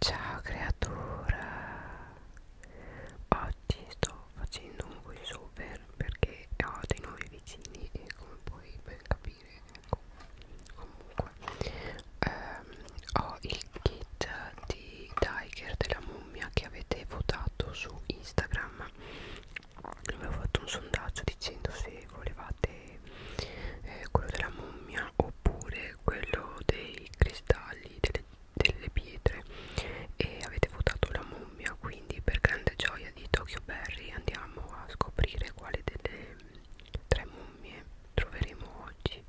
Ciao creatura, oggi sto facendo un voice over perché ho dei nuovi vicini e come puoi ben capire, ecco, comunque ehm, ho il kit di Tiger della mummia che avete votato su Instagram. Avevo fatto un sondaggio dicendo se volevate e eh, quello della mummia oppure quello dei cristalli delle, delle pietre e avete votato la mummia quindi per grande gioia di Tokyo Berry andiamo a scoprire quale delle tre mummie troveremo oggi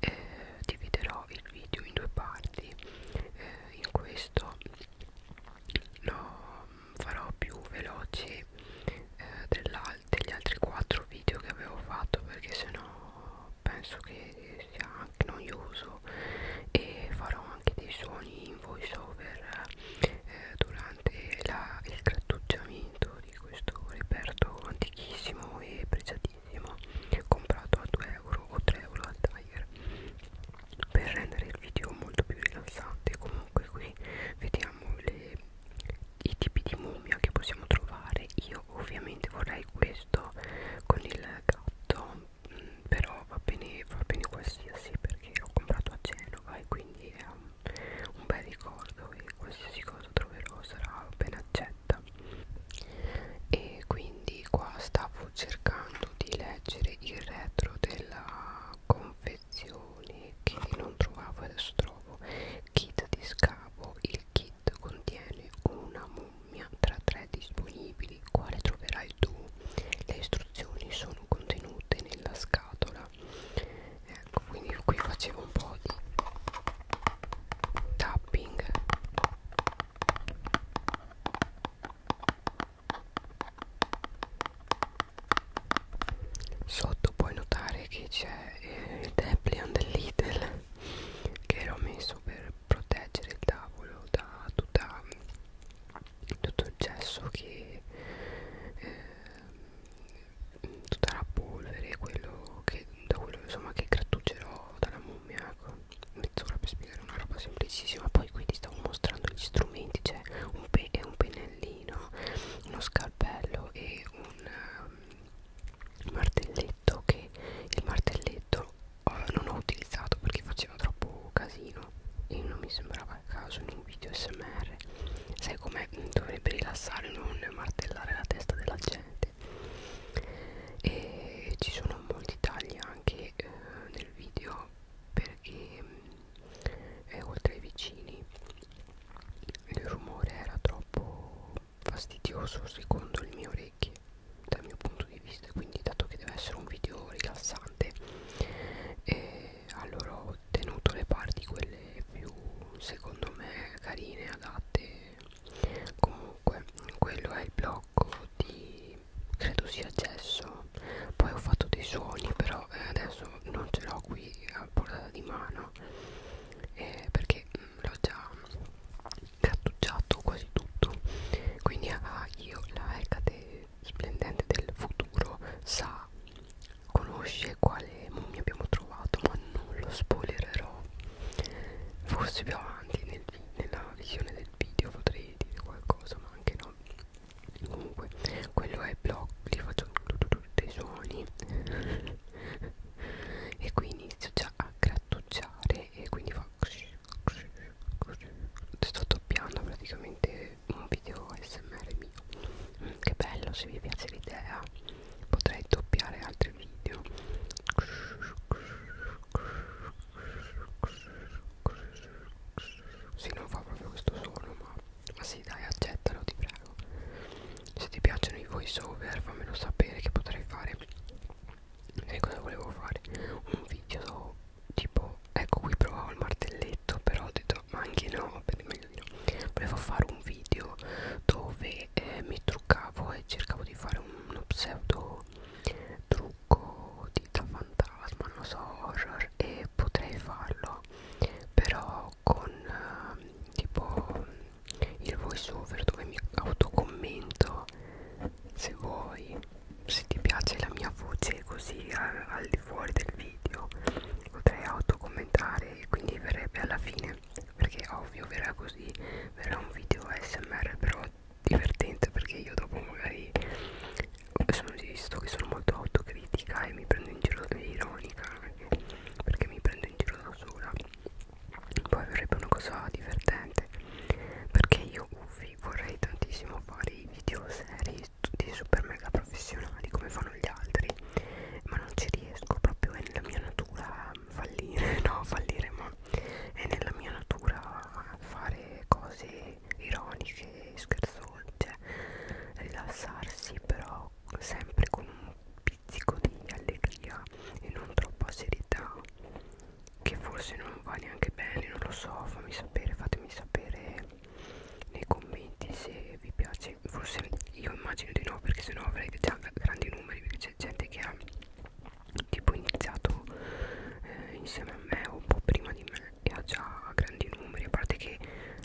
eh, dividerò il video in due parti eh, in questo lo farò più veloce eh, dell'altro degli altri 4 video che avevo fatto perché sennò penso che sia anche noioso e farò anche dei suoni in voice over eh, durante la, il grattugiamento di questo reperto antichissimo e pregiatissimo comprato a 2 euro o 3 euro al tiger per rendere il video molto più rilassante comunque qui vediamo le i tipi di mummia che possiamo trovare io ovviamente vorrei questo con il gatto mm, però va bene va bene qualsiasi perché ho comprato a Genova e quindi è un, un bel ricordo e qualsiasi cosa troverò sarà ben accetta e quindi qua stavo cercando di leggere il retro della confessione confezioni che non trovavo e adesso trovo kit di scavo il kit contiene una mummia tra tre disponibili quale troverai tu le istruzioni sono contenute nella scatola ecco quindi qui facevo un po' di tapping sotto puoi notare che c'è eh, il Deplion del Lidl che l'ho messo per proteggere il tavolo da tutta, tutto il gesso che eh, tutta la polvere quello che da quello insomma che grattugerò dalla mummia ecco mezz'ora per spiegare una roba semplicissima poi qui ti stavo mostrando gli strumenti c'è cioè un, pe un pennellino cucina uno scalpello e un um, martelletto che il martelletto uh, non ho utilizzato perché faceva troppo casino e non mi sembrava a caso in un video smr sai come dovrebbe rilassare non martellare la testa della gente e ci sono molti tagli anche eh, nel video perché eh, oltre ai vicini il rumore era troppo fastidioso secondo le mie orecchie dal mio punto di vista quindi dato che deve essere un video rilassante eh, allora ho tenuto le parti quelle più secondo me carine adatte comunque quello è il blocco di credo sia gesso poi ho fatto dei suoni però eh, adesso non ce l'ho qui a portata di mano eh, perché mm, l'ho già cartucciato quasi tutto quindi ah, io la Hecate splendente del futuro sa conosce quale mummia abbiamo trovato ma non lo spoilererò forse più avanti nel, nella visione del video potrei dire qualcosa ma anche no comunque quello è blog li faccio dei suoni e quindi inizio già a grattugiare e quindi fa sto doppiando praticamente un video smr mio che bello se vi piace l'idea potrei doppiare altri video sì, non fa proprio questo suono, ma, ma sì, dai, accettalo, ti prego. Se ti piacciono i voice over, fammelo sapere che potrei fare. Sai cosa volevo fare? Un video tipo, ecco qui provavo il martelletto, però ho detto, ma anche no, per meglio di no. Volevo fare un video dove eh, mi truccavo e cercavo di fare uno pseudo trucco utilizzo fantasma, non so horror e potrei farlo però con eh, tipo il voice over dove mi autocommento se vuoi se ti piace la mia voce così al, al di fuori del video potrei autocommentare e quindi verrebbe alla fine perché ovvio verrà così verrà un video ASMR però divertente perché io dopo magari sono visto che sono molto autocritica e mi prendo in giro e ironica anche perché mi prendo in giro da sola poi verrebbe una cosa divertente perché io uffi vorrei tantissimo fare i video seri tutti super mega professionali come fanno gli altri ma non ci riesco proprio è nella mia natura fallire no fallire ma è nella mia natura fare cose ironiche, scherzose, rilassarsi però sempre con un pizzico di allegria e non troppa serietà che forse non va neanche bene, non lo so, fammi sapere, fatemi sapere nei commenti se vi piace, forse io immagino di no perché sennò avrei già grandi numeri perché c'è gente che ha tipo iniziato eh, insieme a me o un po' prima di me e ha già grandi numeri a parte che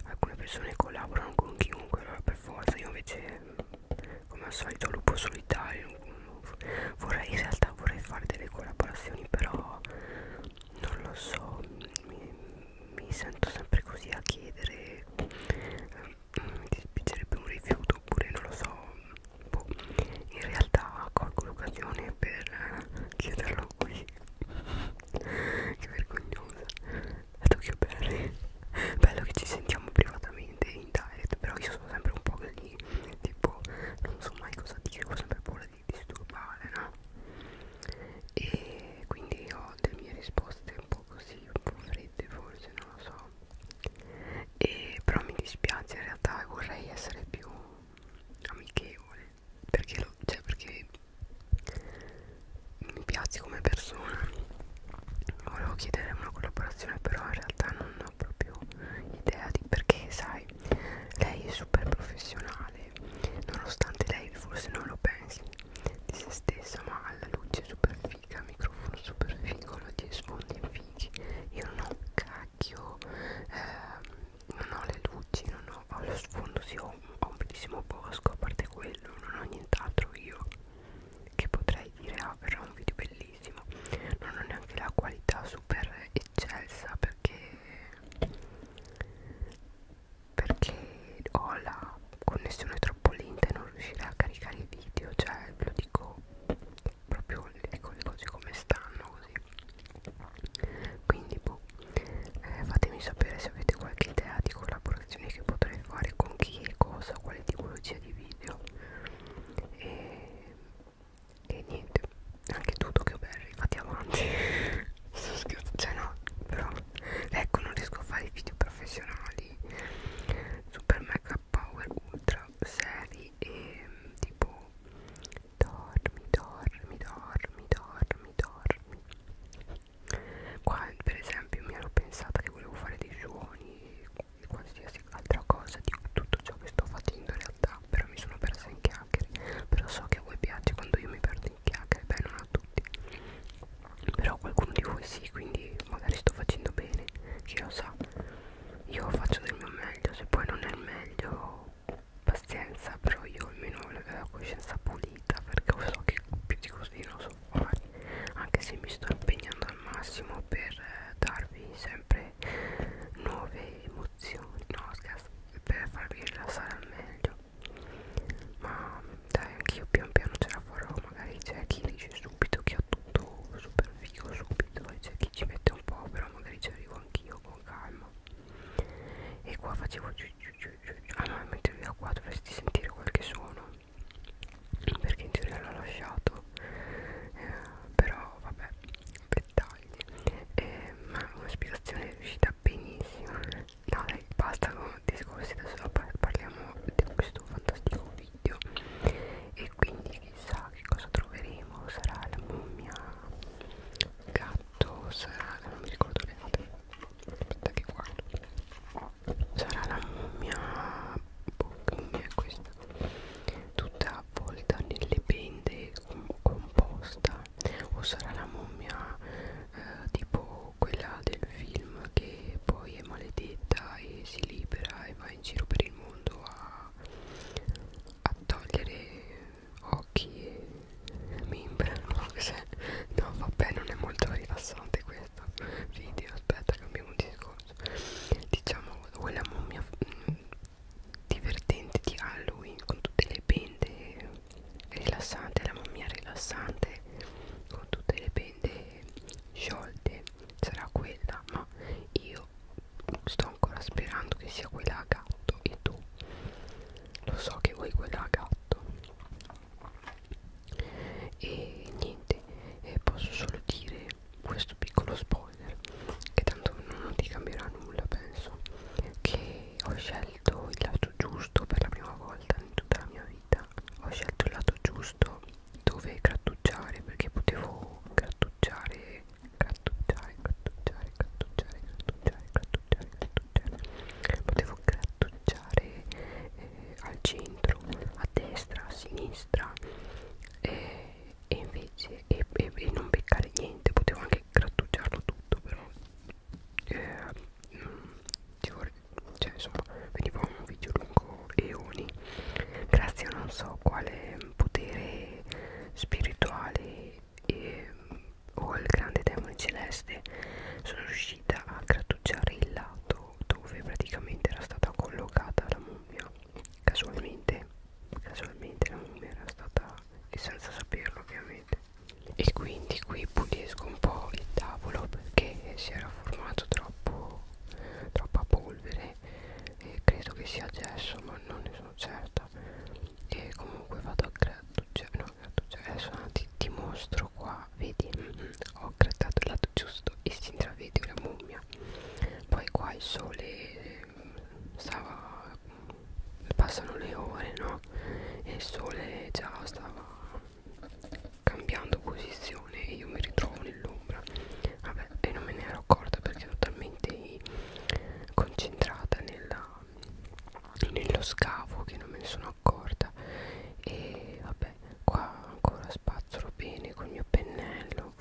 alcune persone collaborano con chiunque allora per forza io invece come al solito lupo solitario vorrei in realtà vorrei fare delle collaborazioni però non lo so mi, mi sento sempre così a chiedere eh, mi dispiacerebbe un rifiuto oppure non lo so boh, in realtà colgo l'occasione per eh, chiederlo qui che vergognosa è Tokyo Berry bello che ci sentiamo privatamente in direct però io sono sempre un po' così tipo non so mai cosa dire ho sempre paura di disturbare no? e quindi ho delle mie risposte un po' così un po' fredde forse non lo so e, però mi dispiace in realtà vorrei essere più amichevole perché, lo, cioè perché mi piace come persona volevo chiedere una collaborazione però in realtà non ho proprio idea di perché sai lei è super professionale nonostante lei forse non lo pensi di se stessa ma ha la luce super figa il microfono super figo gli sfondi fighi io non ho specchio, eh, non ho le luci, non ho, ho lo sfondo, sì, ho, ho un bellissimo bosco, a parte quello, non ho nient'altro io che potrei dire, ah, verrà un video bellissimo, non ho neanche la qualità super eccelsa perché, perché ho la connessione troppo lenta e non riuscirei a caricare i video, cioè ve lo dico proprio le cose come stanno così quindi boh eh, fatemi sapere se avete qualche idea di collaborazioni che potrei fare con chi e cosa quale tipologia di video e, e niente anche tu Tokyo Berry fatti avanti sto scherzando cioè no però ecco non riesco a fare video professionali super mega power ultra serie lì e tipo dormi, dormi, dormi, dormi, dormi. Qua per esempio mi ero pensata che volevo fare dei suoni e qualsiasi altra cosa di tutto ciò che sto facendo in realtà, però mi sono persa in chiacchiere, però so che a voi piace quando io mi perdo in chiacchiere, beh non a tutti, però qualcuno di voi sì, quindi magari sto facendo bene, chi lo sa io faccio del mio meglio se poi non è il meglio pazienza però io almeno ho la coscienza pulita perché so che più di così non so fare anche se mi sto impegnando al massimo per eh, darvi sempre nuove emozioni no scherzo per farvi rilassare al meglio ma dai anch'io pian piano ce la farò magari c'è chi dice subito che ha tutto super figo subito e c'è chi ci mette un po' però magari ci arrivo anch'io con calma e qua facevo giù giù giù giù ah no mentre via qua dovresti sentire qualche suono perché in teoria l'ho lasciato eh, però vabbè dettagli eh, ma una spiegazione è riuscita benissimo no dai basta con discorsi adesso parliamo di questo fantastico video video e quindi chissà che cosa troveremo sarà la mummia gatto sarà non mi ricordo le note aspetta che guardo sarà la mummia boh, mummia è questa tutta avvolta nelle pende com composta o sarà la mummia eh, tipo quella del film che poi poi è maledetta e si libera e va in giro per il mondo a, a togliere occhi e membra no, no vabbè non è molto rilassante questo video aspetta cambiamo discorso diciamo quella mummia mm, divertente di Halloween con tutte le pende rilassante la mummia rilassante con tutte le pende sciolte sarà quella ma io sto ancora sperando che sia quella a gatto e tu lo so che vuoi quella a gatto e niente eh, posso solo dire questo piccolo spoiler che tanto non ti cambierà nulla penso che ho scelto il lato giusto per la prima volta in tutta la mia vita vita ho scelto il lato giusto dove grattugiare perché potevo grattugiare grattugiare grattugiare grattugiare grattugiare grattugiare grattugiare potevo grattugiare eh, al centro a destra a sinistra eh, e invece e, e, e non beccare niente potevo anche grattugiarlo tutto però eh, ci, mm, vorrei, cioè insomma veniva un video lungo eoni grazie a non so quale potere spirituale e, o al grande demone celeste sono riuscita a grattugiare il lato dove praticamente era stata collocata la mummia casualmente casualmente la mummia era stata e senza saperlo ovviamente e quindi qui pulisco un po' il tavolo perché si era formato troppo, troppa polvere e credo che sia gesso ma non ne sono certa e comunque vado a grattugiare cioè, no, cioè, adesso ti, ti mostro qua vedi ho grattato il lato giusto e si intravede una mummia poi qua il sole mm, stava passano le ore no e il sole già stava cambiando posizione e io mi ritrovo nell'ombra vabbè e non me ne ero accorta perché ero talmente concentrata nella, nello scavo che non me ne sono accorta e vabbè qua ancora spazzolo bene col mio pennello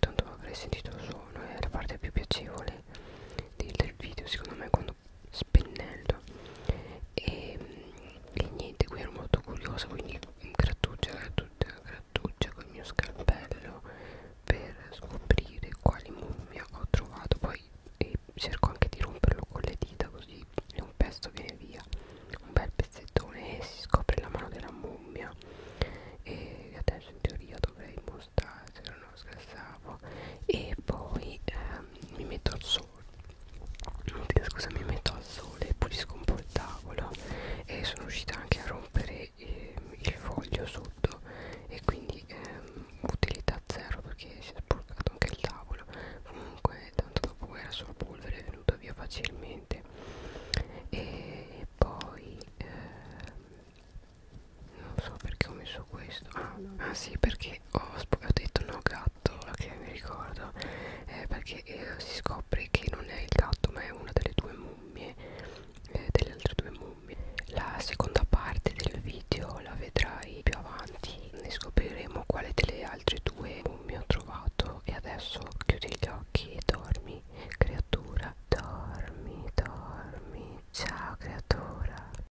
tanto avrei sentito il suono è la parte più piacevole del, del video secondo me quando sto spennello e, e niente qui ero molto curiosa quindi grattugia grattugia grattugia col mio scalpello per scoprire quali mummia ho trovato poi e cerco anche di romperlo con le dita così un pezzo viene via un bel pezzettone e si scopre la mano della mummia e adesso in teoria dovrei mostrare se non lo scherzavo e poi ehm, mi metto al sole scusa mi metto al sole pulisco un po' il tavolo e sono riuscita anche a rompere eh, il foglio sotto e quindi ehm, utilità zero perché si è sporcato anche il tavolo comunque tanto dopo era solo polvere è venuta via facilmente e poi ehm, non so perché ho messo questo ah, ah sì perché perché ho, ho detto no gatto che mi ricordo eh, perché eh, si scopre che non è il gatto ma è una delle due mummie eh, delle altre due mummie la seconda parte del video la vedrai più avanti ne scopriremo quale delle altre due mummie ho trovato e adesso chiudi gli occhi e dormi creatura dormi dormi ciao creatura